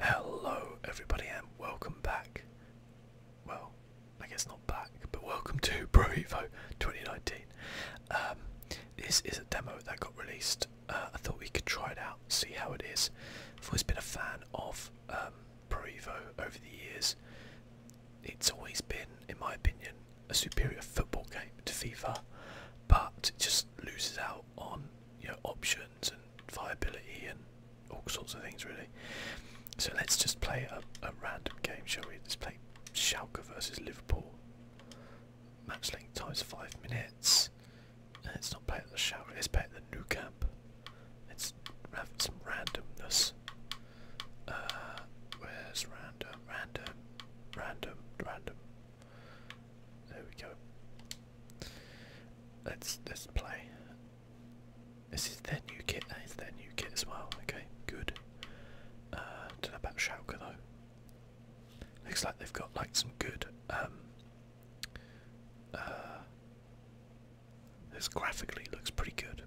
Hello, everybody, and welcome back. Well, I guess not back, but welcome to Pro 2019. Um, this is a demo that got released. Uh, I thought we could try it out, see how it is. I've always been a fan of um, over the years. It's always been, in my opinion, a superior football game to FIFA, but it just loses out on your options and viability and all sorts of things really. So let's just play a, random game, shall we? Let's play Schalke versus Liverpool. Match length times five minutes. Let's not play at the Schalke. Let's play at the New Camp. Let's have some randomness. Uh, where's random? Random. Random. Random. There we go. Let's let's play. This is their new kit. That is their new kit as well. Okay, good. Uh, don't know about Schalke though. Looks like they've got like some good. Um, uh, this graphically looks pretty good.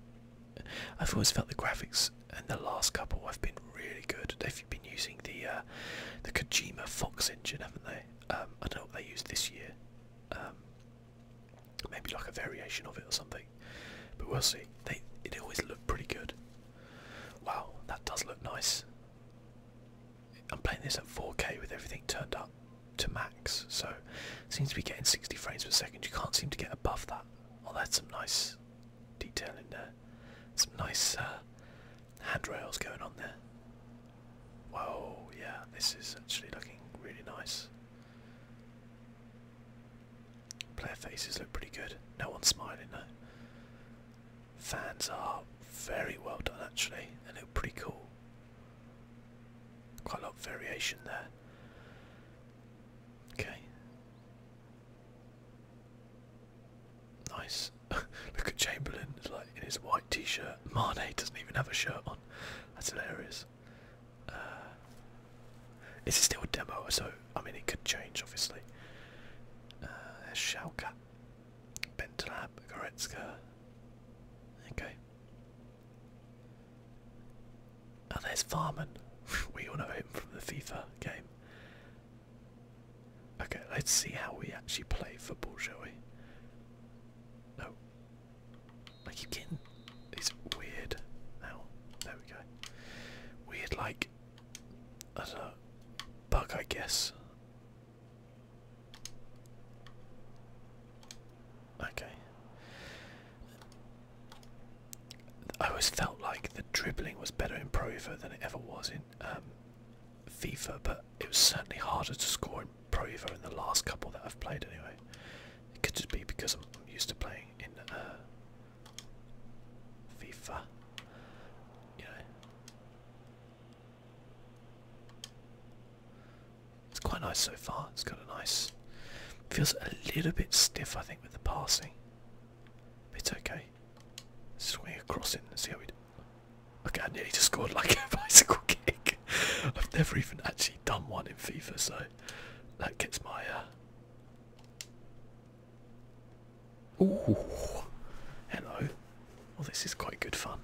I've always felt the graphics in the last couple have been really good. They've been using the uh, the Kojima Fox engine, haven't they? Um, I don't know what they used this year. Um, maybe like a variation of it or something. But we'll see. They it always looked pretty good. Wow, that does look nice. I'm playing this at 4K with everything turned up to max, so it seems to be getting 60 frames per second. You can't seem to get above that. Oh, there's some nice detail in there. Some nice uh, handrails going on there. Whoa, yeah, this is actually looking really nice. Player faces look pretty good. No one's smiling though. Fans are very well done actually. and look pretty cool. Quite a lot of variation there. Okay. Nice. Look at Chamberlain like in his white t-shirt. Mane doesn't even have a shirt on. That's hilarious. Uh, is it still a demo? So I mean, it could change, obviously. Uh, there's Schalke, Bentalab, Goretzka. Okay. Oh, there's Farman. we all know him from the FIFA game. Okay, let's see how we actually play football, shall we? No. I keep getting these weird now. There we go. Weird like I bug I guess. Okay. I always felt like the dribbling was better in Prover than it ever was in um, FIFA, but it was certainly harder to score in Pro Evo in the last couple that I've played anyway. It could just be because I'm, used to playing in uh, FIFA. You It's quite nice so far. It's got a nice... Feels a little bit stiff I think with the passing. But it's okay. Swing across it and see how we do. Okay, I nearly just scored like a bicycle kick. I've never even actually done one in FIFA, so that gets my. Uh... Ooh, hello. Well, this is quite good fun.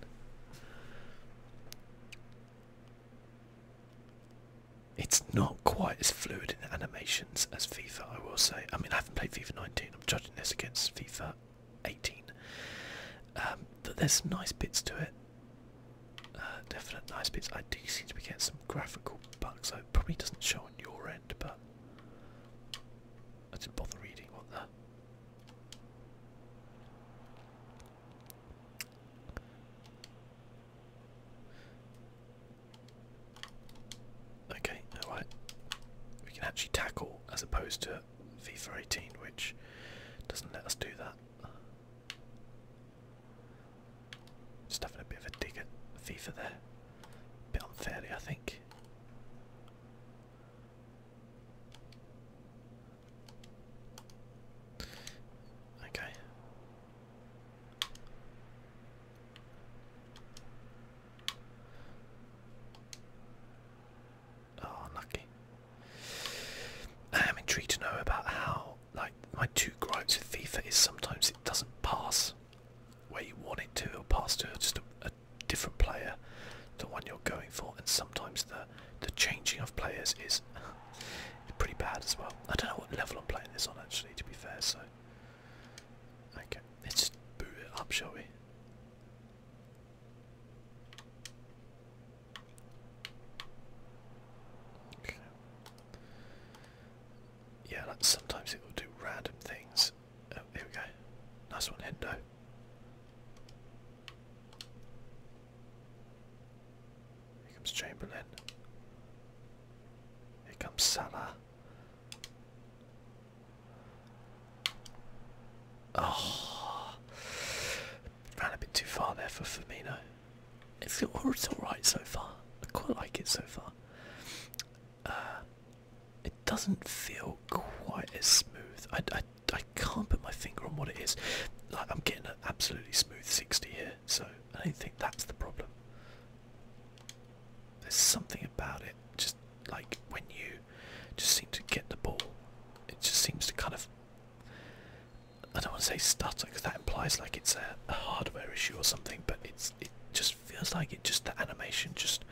It's not quite as fluid in the animations as FIFA, I will say. I mean, I haven't played FIFA 19. I'm judging this against FIFA 18. Um, that there's nice bits to it. Uh, definite nice bits. I do seem to be getting some graphical bugs. So it probably doesn't show on your end, but I didn't bother reading what the. Okay, alright. We can actually tackle as opposed to at FIFA 18, which doesn't let us do that. Just having a bit of a dig at FIFA there. A bit unfairly, I think. Okay. Oh, unlucky. I am intrigued to know about how, like, my two gripes with FIFA is sometimes it doesn't pass where you want it to, or pass to just a, different player, the one you're going for, and sometimes the the changing of players is pretty bad as well. I don't know what level I'm playing this on actually, to be fair. So, okay, let's boot it up, shall we? Yeah, sometimes it will do random things. Oh, here we go. Nice one, Hendo. Here comes Chamberlain. Here comes Salah. Oh, Ran a bit too far there for Firmino. It's, oh, it's alright so far. I quite like it so far. Uh, it doesn't feel quite as smooth. I, I, I can't put my finger on what it is. Like I'm getting an absolutely smooth 60 here, so I don't think that's the problem. There's something about it, just like when you just seem to get the ball, it just seems to kind of I don't want to say stutter because that implies like it's a, hardware issue or something, but it's it just feels like it just the animation just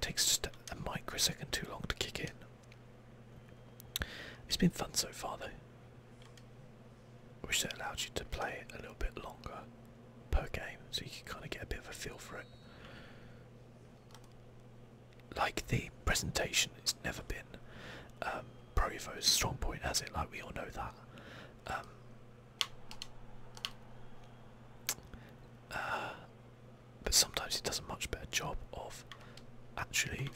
takes just a, microsecond too long to kick in. It's been fun so far though. I wish they allowed you to play it a little bit longer per game so you can kind of get a bit of a feel for it like the presentation, it's never been um, Provo's strong point, has it? Like we all know that. Um, uh, but sometimes he does a much better job of actually,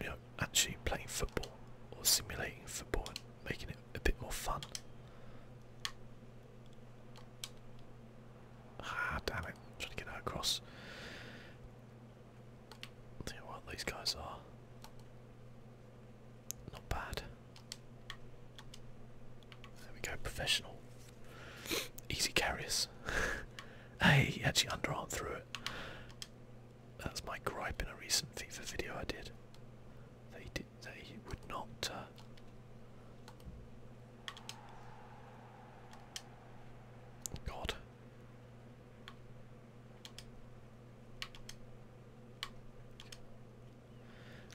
you know, actually playing football or simulating football and making it a bit more fun. Ah, damn it! trying to get that across. I'll what, these guys are not bad. There we go, professional. Easy carriers. hey, he actually underarm through it. That's my gripe in a recent FIFA video I did. They did. They would not. Uh, God,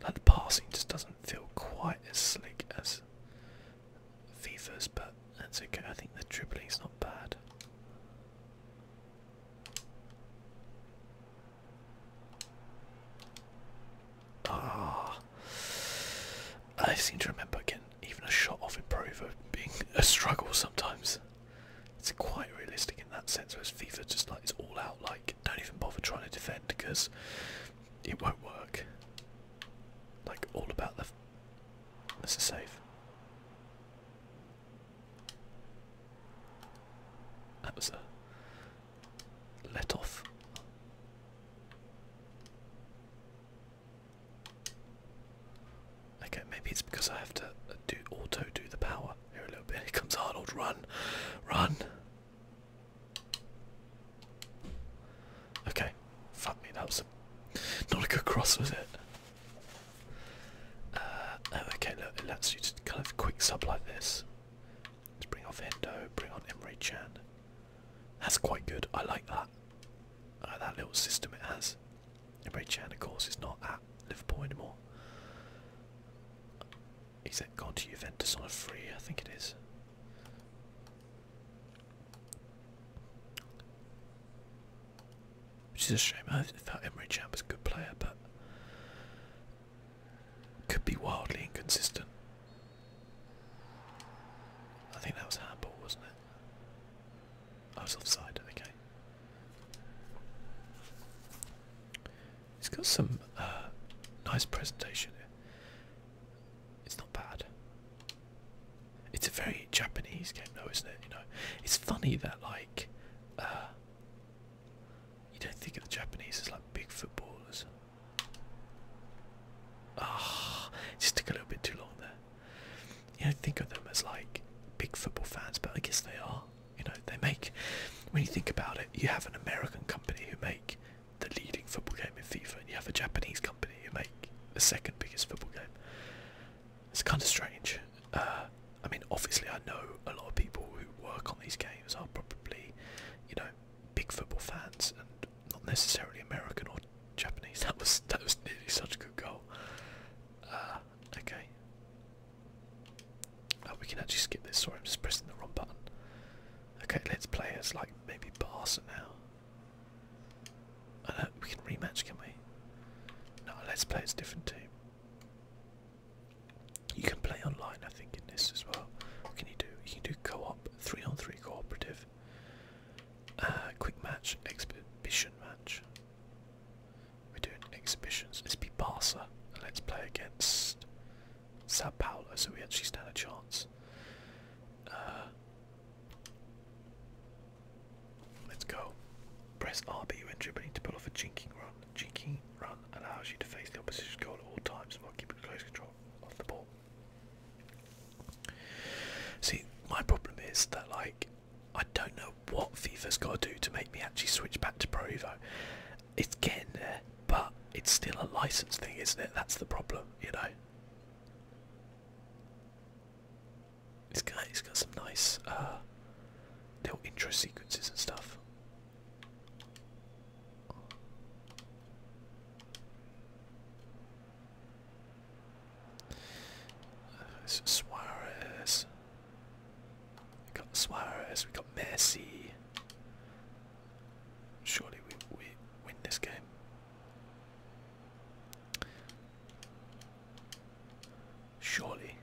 like the passing just doesn't feel quite as slick as FIFA's, but that's okay. I think the is not bad. Ah, I seem to remember getting even a shot off improver being a struggle sometimes. It's quite realistic in that sense, whereas FIFA just like it's all out, like don't even bother trying to defend because it won't work. Like all about the. That's a save. That was a let off. Okay, maybe it's because I have to uh, do auto do the power here a little bit. Here comes Arnold. Run, run. Okay, fuck me. That was a, not a good cross, was it? Uh, oh, okay, look, it lets you just kind of quick sub like this. Let's bring off Endo, bring on Emery Chan. That's quite good. I like that. Uh, that. little system it has. Emre Chan, of course, is not at Liverpool anymore. He's gone to Juventus on a free, I think it is. Which is a shame. I thought Emery Chan was a good player, but could be wildly inconsistent. I think that was handball, wasn't it? Oh, I was offside, okay. It's got some uh, nice presentation It's not bad. It's a very Japanese game though, isn't it? You know, it's funny that like uh, you don't think of the Japanese as like big footballers. Ah, just took a little bit too long there. You know, think of them as like big football fans, but I guess they are. You know, they make. When you think about it, you have an American company who make the leading football game in FIFA, and you have a Japanese company who make the second biggest football game. It's kind of strange. Uh, I mean, obviously, I know a lot of people who work on these games are probably, you know, big football fans and not necessarily American or Japanese. That was that was nearly such a good goal. Uh, okay. Oh, we can actually skip this. Sorry, I'm just pressing the wrong button. Okay, let's play as like maybe Barca now. Uh, we can rematch, can we? No, let's play as different team. You can play online, I think, in this as well. What can you do? You can do co-op, three-on-three cooperative, uh, quick match, exhibition match. We're doing exhibitions. Let's be Barca and let's play against Sao Paulo, so we actually stand a chance. Uh, let's go. Press RB when dribbling to pull off a jinking run. Jinking run allows you to face the opposition goal at all times while keeping close control of the ball. See, my problem is that like I don't know what FIFA's got to do to make me actually switch back to Pro It's getting there, but it's still a license thing, isn't it? That's the problem, you know. This guy has got some nice uh, little intro sequences and stuff. It's Suarez. We got Suarez. We got Messi. Surely we we win this game. Surely,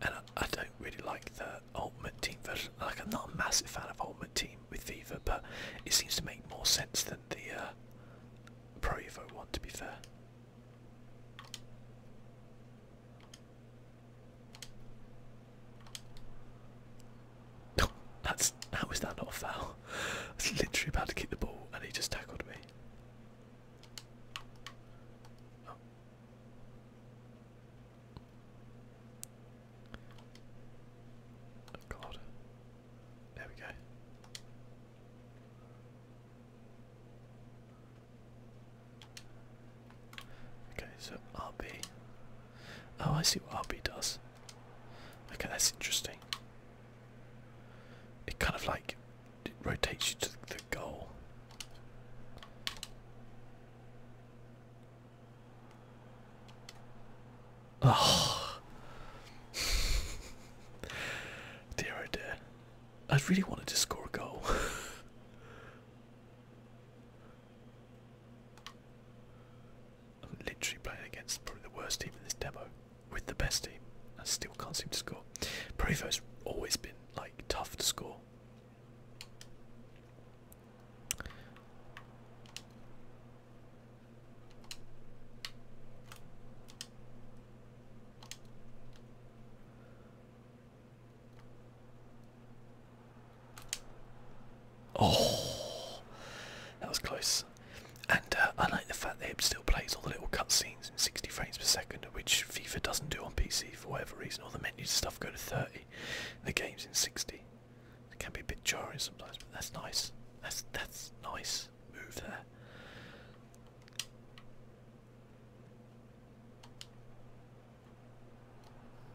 and I, don't really like the Ultimate Team version. Like I'm not a massive fan of Ultimate Team with FIFA, but it seems to make more sense than the uh, Pro Evo one. To be fair. Oh, that's how is that not a foul? I was literally about to kick the ball and he just tackled me. Oh. Oh, god. There we go. Okay, so RB. Oh, I see what RB does. Okay, that's interesting. It kind of like rotates you to the goal. Oh. dear oh I really wanted to score a goal. I'm literally playing against probably the worst team in this demo with the best team. I still can't seem to score. Prevo's always been like tough to score. Oh, that was close. And uh, I like the fact that it still plays all the little cutscenes in 60 frames per second, which FIFA doesn't do on PC for whatever reason. All the menus stuff go to 30, the game's in 60. It can be a bit jarring sometimes, but that's nice. That's that's nice move there.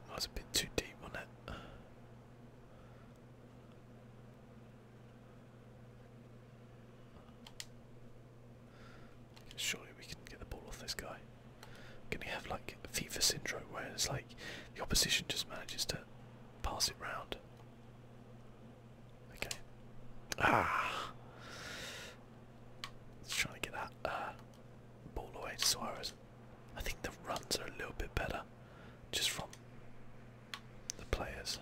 That was a bit too deep, on it? Surely we can get the ball off this guy. Can he have like FIFA syndrome where it's like the opposition just manages to pass it round? Okay. Ah! Let's try to get that uh, ball away Suarez. I think the runs are a little bit better just from the players.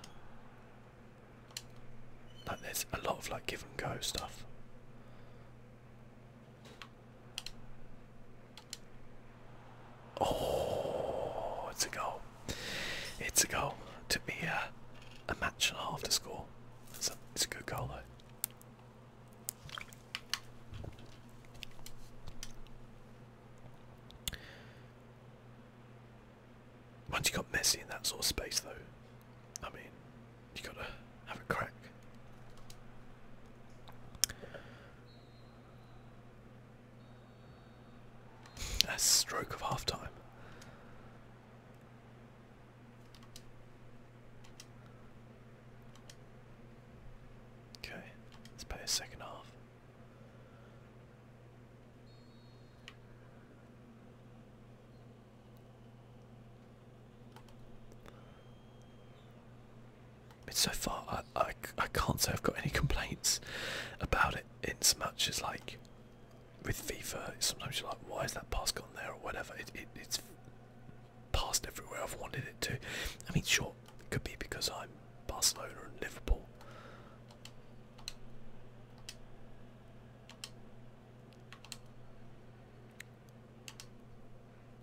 Like there's a lot of like give and go stuff. Oh, it's a goal. It's a goal. It took me a match and a half to score. It's a, good goal though. Once you got messy in that sort of space, though, I mean, you gotta have a crack. A stroke of half time. Okay, let's play a second half. It's so far, I, I, I can't say I've got any complaints about it in much as like with FIFA, sometimes you're like, why is that pass gone there or whatever? It, it's passed everywhere I've wanted it to. I mean, sure, it could be because I'm Barcelona and Liverpool.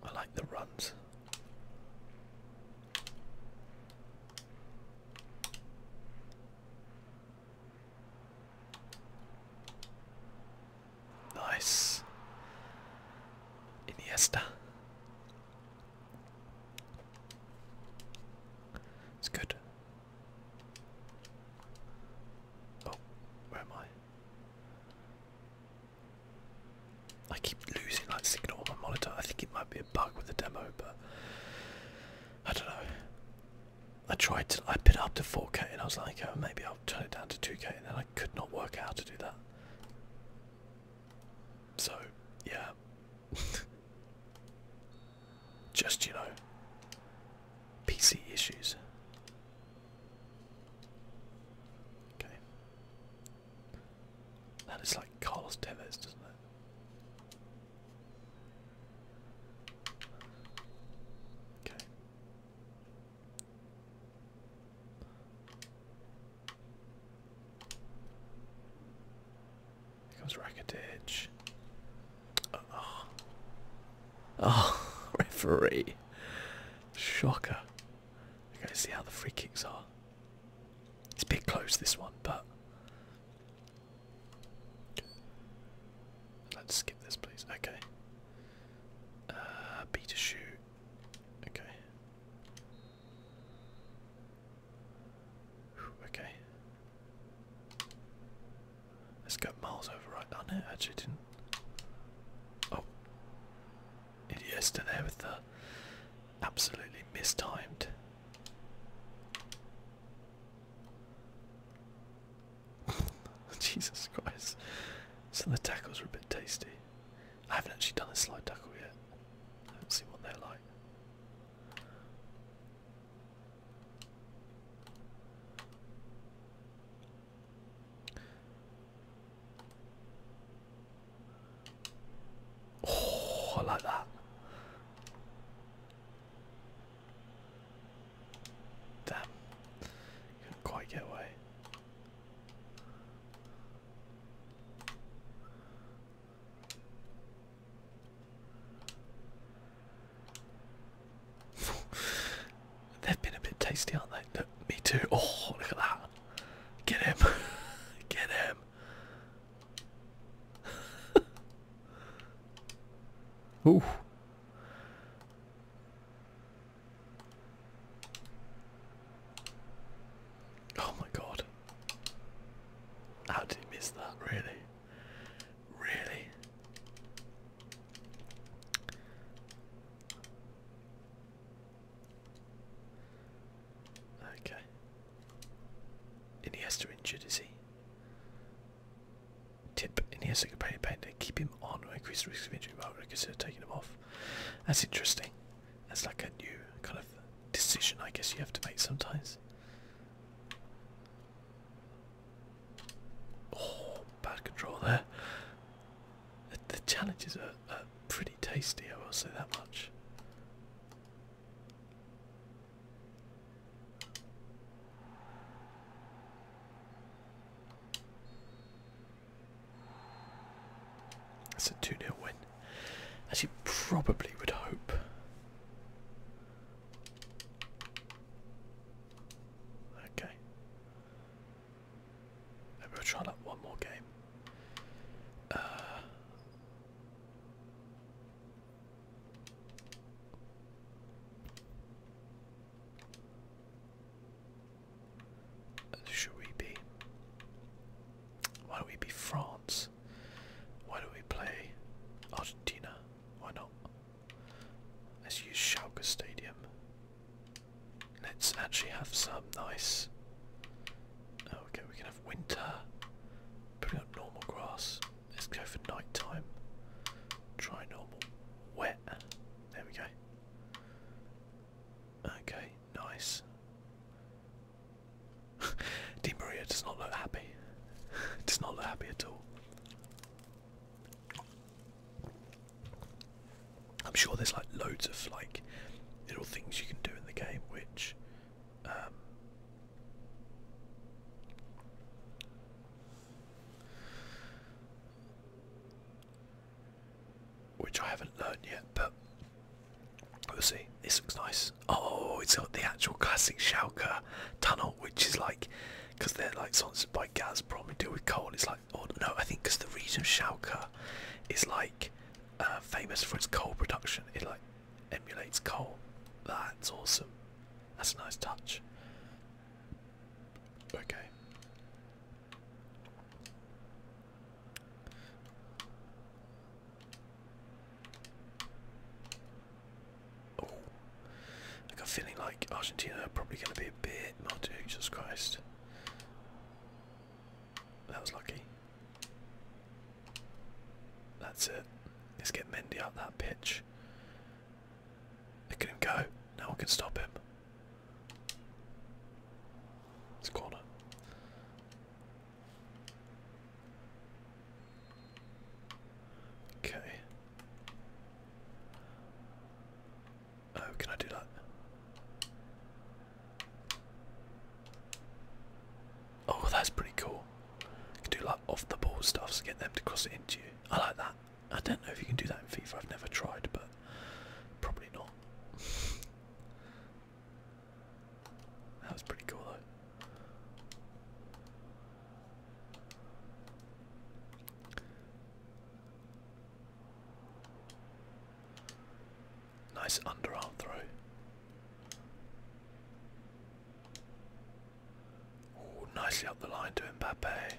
I like the runs. Nice. Iniesta. It's good. Oh, where am I? I keep losing like signal on my monitor. I think it might be a bug with the demo, but I don't know. I tried to, I bid up to 4k and I was like, oh, maybe I'll turn it down to 2k, and then I could not work out how to do that. So, yeah. Just, you know, PC issues. Okay. That is like Carlos Tevez, doesn't it? Okay. Here comes Rakitic. oh. oh referee. Shocker. Okay, see how the free kicks are. It's a bit close this one, but Let's skip this, please. Okay. Uh, B Okay. okay. Let's miles over right. Oh no, actually didn't. Oh. Idiesta there with the absolutely mistimed Jesus Christ. So the tackles were a bit tasty. I haven't actually done a slide tackle yet. Let's see what they're like. Oh, I like that. Damn. Couldn't quite get away. They've been a bit tasty, aren't they? me too. Oh, look at that. Get him. Get him. Ooh. Oh my god. How did he miss that, really? Really? Okay. Iniesta injured, is he? Tip in here so you can the companion band to keep him on or increase the risk of injury. Well, I would consider taking him off. That's interesting. That's like a new kind of decision, I guess, you have to make sometimes. Oh, bad control there. The, challenges are, are pretty tasty, I will say that much. That's a 2 nil win. As you probably would hope. Okay. Maybe we try that one more game. Uh, should we be? Why don't we be France? Why don't we play Argentina? Why not? Let's use Schalke Stadium. Let's actually have some nice. Oh, okay, we can have winter. Putting up normal grass. Let's go for nighttime. time. Try normal. Wet. There we go. Okay, nice. Di Maria does not look happy. does not look happy at all. I'm sure there's like loads of like little things you can do in the game which um, which I haven't learned yet, but we'll see. This looks nice. Oh, it's got the actual classic Schalke tunnel, which is like, because they're like sponsored by gas, probably deal with coal. It's like, oh no, I think because the region Schalke is like uh, famous for its coal production. It like emulates coal. That's awesome. That's a nice touch. Okay. Oh, I got a feeling like Argentina are probably going to be a bit naughty. Jesus Christ, that was lucky. That's it. Let's get Mendy up that pitch. Look at him go. No one can stop him. It's corner. Okay. Oh, can I do that? Oh, that's pretty cool. can do like off the ball stuff to so get them to cross it into you. I like that. I don't know if you can do that in FIFA. I've never tried, but probably not. that was pretty cool, Nice underarm throw. Oh, nicely up the line to Mbappe.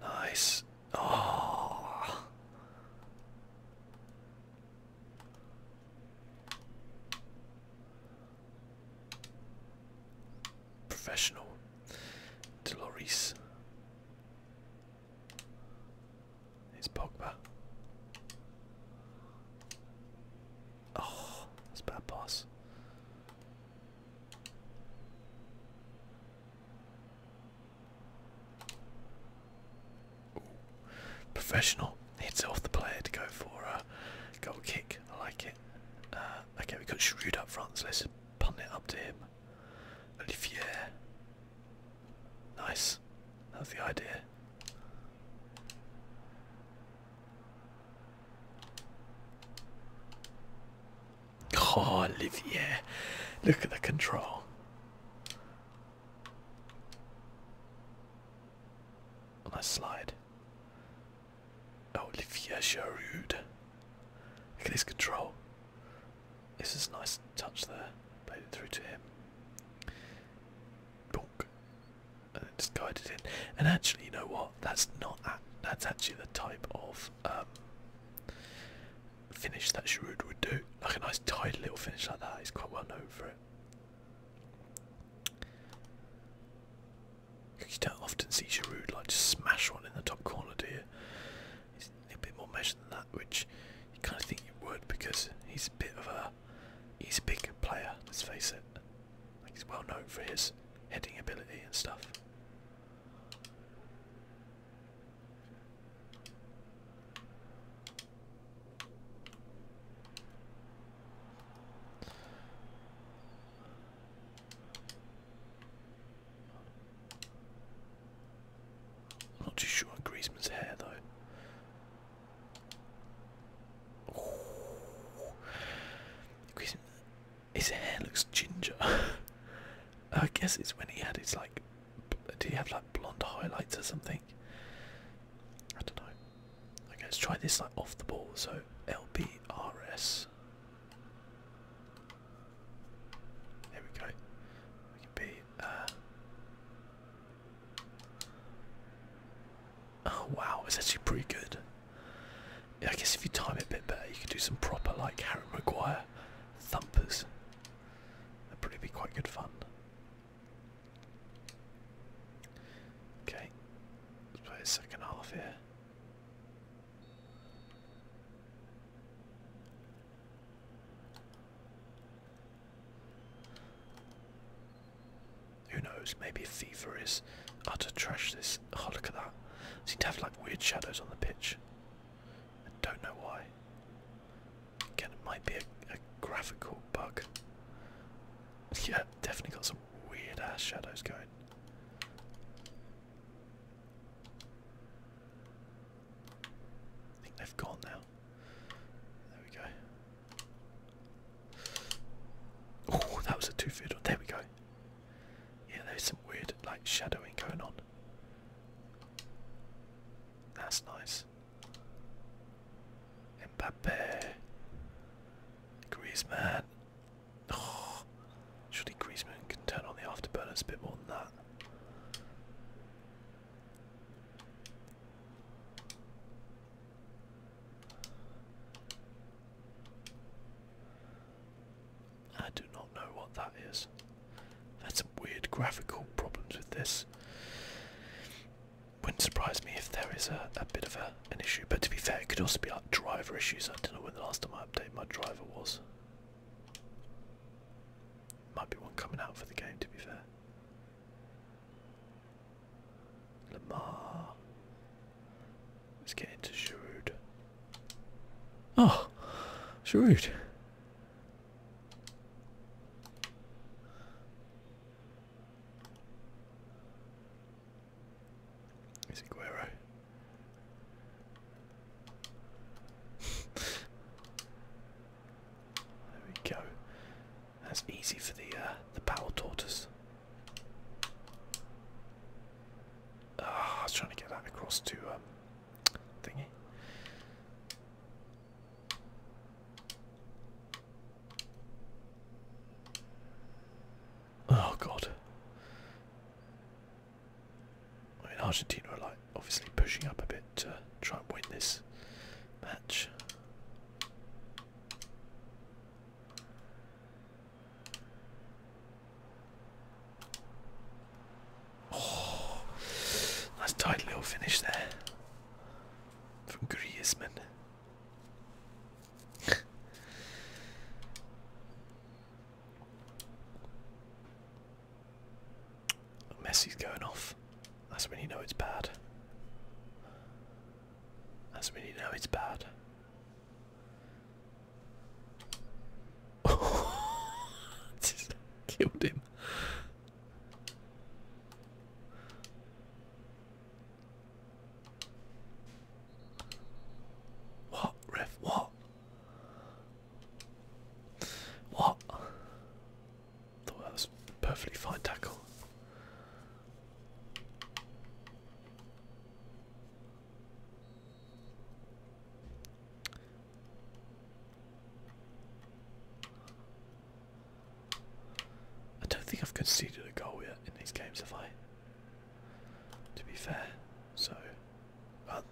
Nice. Oh. Professional. Deloris. It's Pogba. Oh, that's bad pass. Professional hits off the player to go for a goal kick. I like it. Uh, okay, we got Shrewd up front, so let's punt it up to him. Olivier. Nice. That the idea. Oh, Olivier. Look at the control. On that slide. Olivier Giroud. Look at his control. This is a nice touch there. Played it through to him. Bonk just it And actually, you know what? That's not at, that's actually the type of um, finish that Giroud would do. Like a nice tight little finish like that. He's quite well known for it. You don't often see Giroud like just smash one in the top corner, do you? He's a bit more measured than that, which you kind of think he would because he's a bit of a he's a big player. Let's face it he's well known for his heading ability and stuff. not too sure on Griezmann's hair though. Griezmann, his hair looks ginger. I guess it's when he had his like. Do you have like blonde highlights or something? I don't know. Okay, let's try this like off the ball. So LBRS. There we go. We uh, Oh wow, it's actually pretty good. I guess if you time it a bit better, you could do some proper like Harry Maguire thumpers. That'd probably be quite good fun. Okay, let's play a second half here. Who knows? Maybe FIFA is utter trash this oh look at that. It seems to have like weird shadows on the pitch. I don't know why. Again, it might be a, a graphical bug. Yeah, definitely got some weird ass shadows going. I think they've gone now. There we go. Oh, that was a two-footer. There we go. Yeah, there's some weird like shadowing going on. That's nice. Mbappe. Griezmann. Oh, surely Griezmann can turn on the afterburners a bit more than that. I do not know what that is. That's some weird graphical problems with this. Wouldn't surprise me if there is a, bit of an issue, but to be fair, it could also be like driver issues. I don't know when the last time I updated my driver was. Might be one coming out for the game, to be fair. Lamar Let's get into Sherud. Oh, Sherud. Is it Guero? there we go. That's easy for the uh, the power tortoise. Ah, I was trying to get that across to um, thingy. Oh God! I mean, Argentina are like obviously pushing up a bit to try and win this match. Oh, nice tight little finish there from Griezmann. Messi's going off. That's when you know it's bad. That's when you know it's bad. Just killed him. What, Riff? What? What? Thought that was perfectly fine tackle. I don't think I've conceded a goal yet in these games, have I? To be fair, so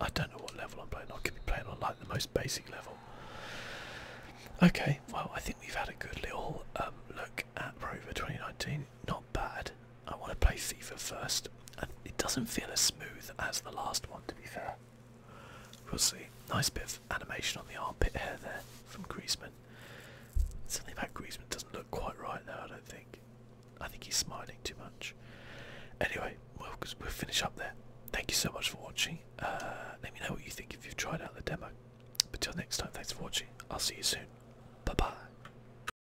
I, don't know what level I'm playing. I could be playing on like the most basic level. Okay, well I think we've had a good little um, look at Rover 2019 not bad. I want to play FIFA first, and it doesn't feel as smooth as the last one, to be fair. We'll see. Nice bit of animation on the armpit hair there from Griezmann. Something about Griezmann doesn't look quite right though, I don't think. I think he's smiling too much. Anyway, we'll, we'll finish up there. Thank you so much for watching. Uh, let me know what you think if you've tried out the demo. But till next time, thanks for watching. I'll see you soon. Bye bye.